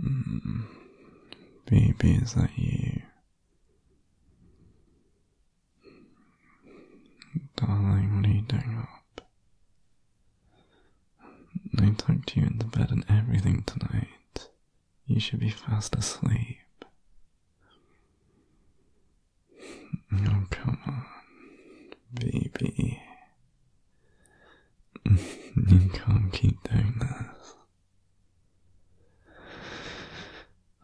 Mm. Baby, is that you? Darling, what are you doing up? I tucked you into bed and everything tonight. You should be fast asleep. Oh, come on, baby. you can't keep doing this.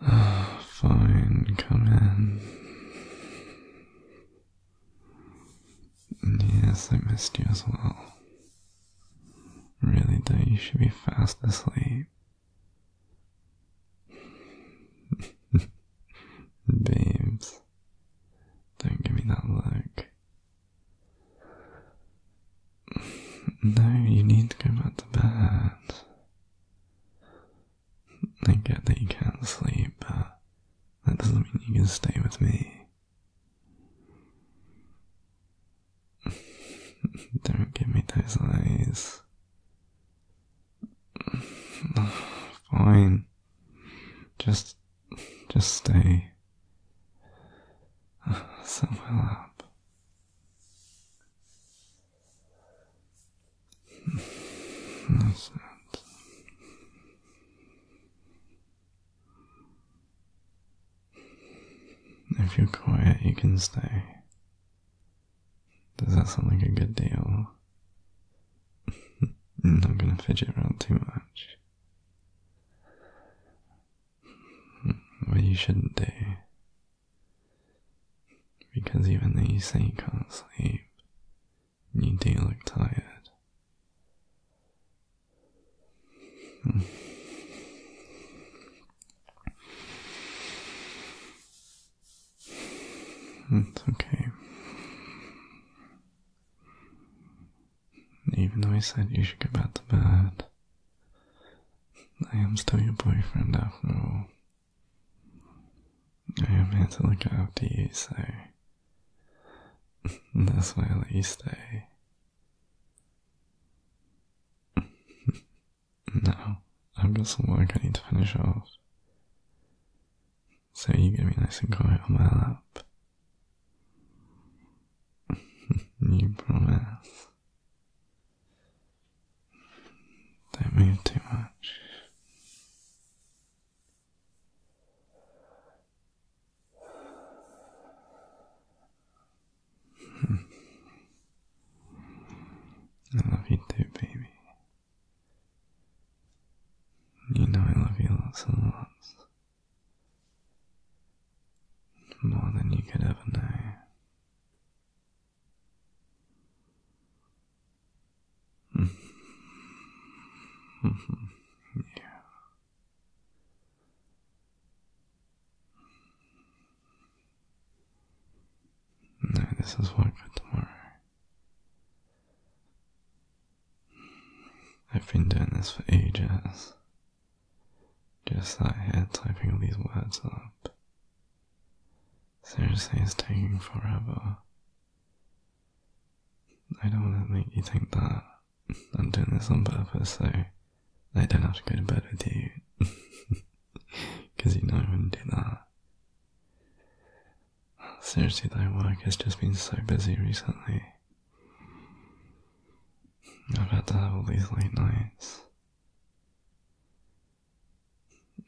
Ah, fine, come in. Yes, I missed you as well. Really, though, you should be fast asleep. Babes, don't give me that look. No, you need to go back to bed. I get that you can't sleep, but that doesn't mean you can stay with me. Don't give me those eyes. Fine. Just, just stay So well up. If you're quiet, you can stay. Does that sound like a good deal? I'm not gonna fidget around too much. Hmm, what you shouldn't do. Because even though you say you can't sleep, you do look tired. Hmm. It's okay. Even though I said you should go back to bed, I am still your boyfriend after all. I am here to look after you, so that's why I let you stay. No, I've got some work I need to finish off. So you're going be nice and quiet on my lap. you promise. Don't too much. I love you too, baby. You know I love you lots and lots. More than you could ever know. yeah. No, this is work for tomorrow. I've been doing this for ages. Just sat here typing all these words up. Seriously, it's taking forever. I don't want to make you think that I'm doing this on purpose, so I don't have to go to bed with you. Because you know I wouldn't do that. Seriously though, work has just been so busy recently. I've had to have all these late nights.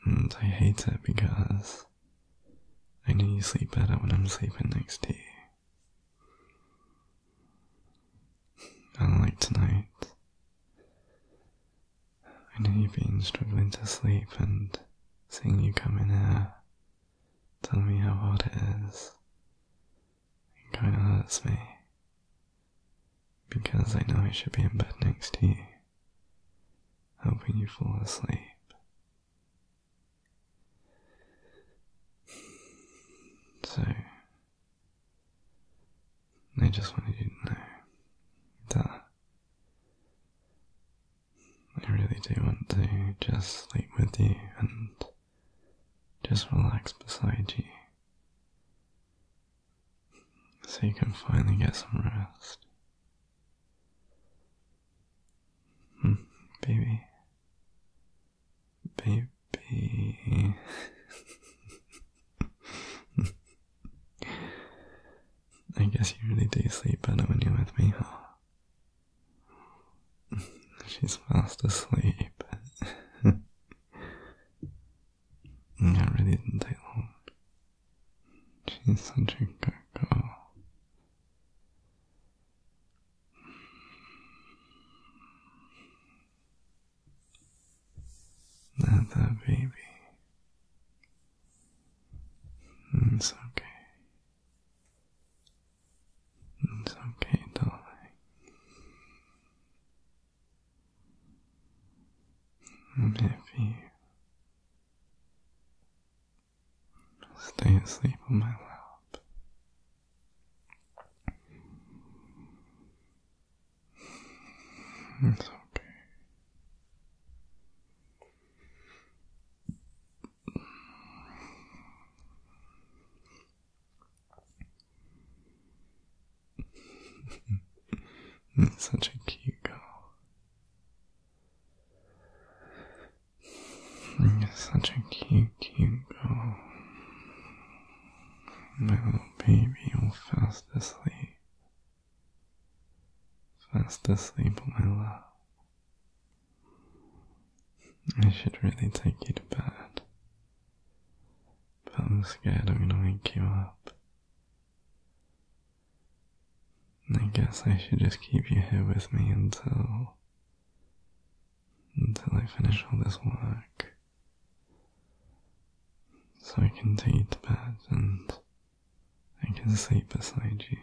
And I hate it because I know you sleep better when I'm sleeping next to you. And like tonight, I know you've been struggling to sleep, and seeing you come in here, tell me how hard it is. It kind of hurts me because I know I should be in bed next to you, helping you fall asleep. So, I just wanted you to know that I really do want to just sleep with you and just relax beside you so you can finally get some rest. Hmm, baby. Baby. I guess you really do sleep better when you're with me, huh? She's fast asleep. that really didn't take long. She's such a girl. Not that baby. It's okay. It's okay, darling. I'm Stay asleep on my lap. It's okay. It's such a cute girl. You're such a cute, cute girl. My little baby, all fast asleep. Fast asleep, my love. I should really take you to bed. But I'm scared I'm gonna wake you up. I guess I should just keep you here with me until. until I finish all this work. So I can take you to bed and I can sleep beside you.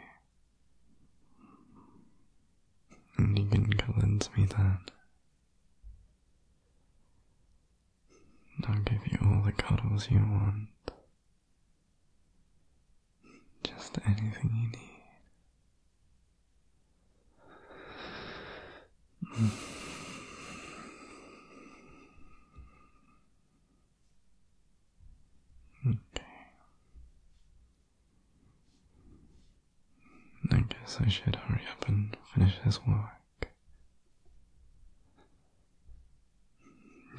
And you can cuddle into me then. I'll give you all the cuddles you want. Just anything you need. Hmm. Okay. I guess I should hurry up and finish this work.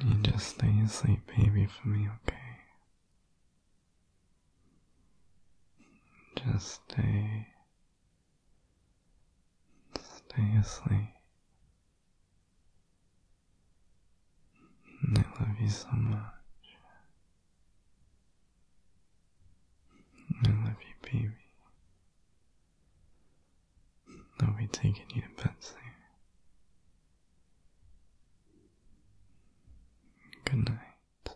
You just stay asleep, baby, for me, okay? Just stay Stay asleep. I love you so much. I love you, baby. I'll be taking you to bed soon. Good night.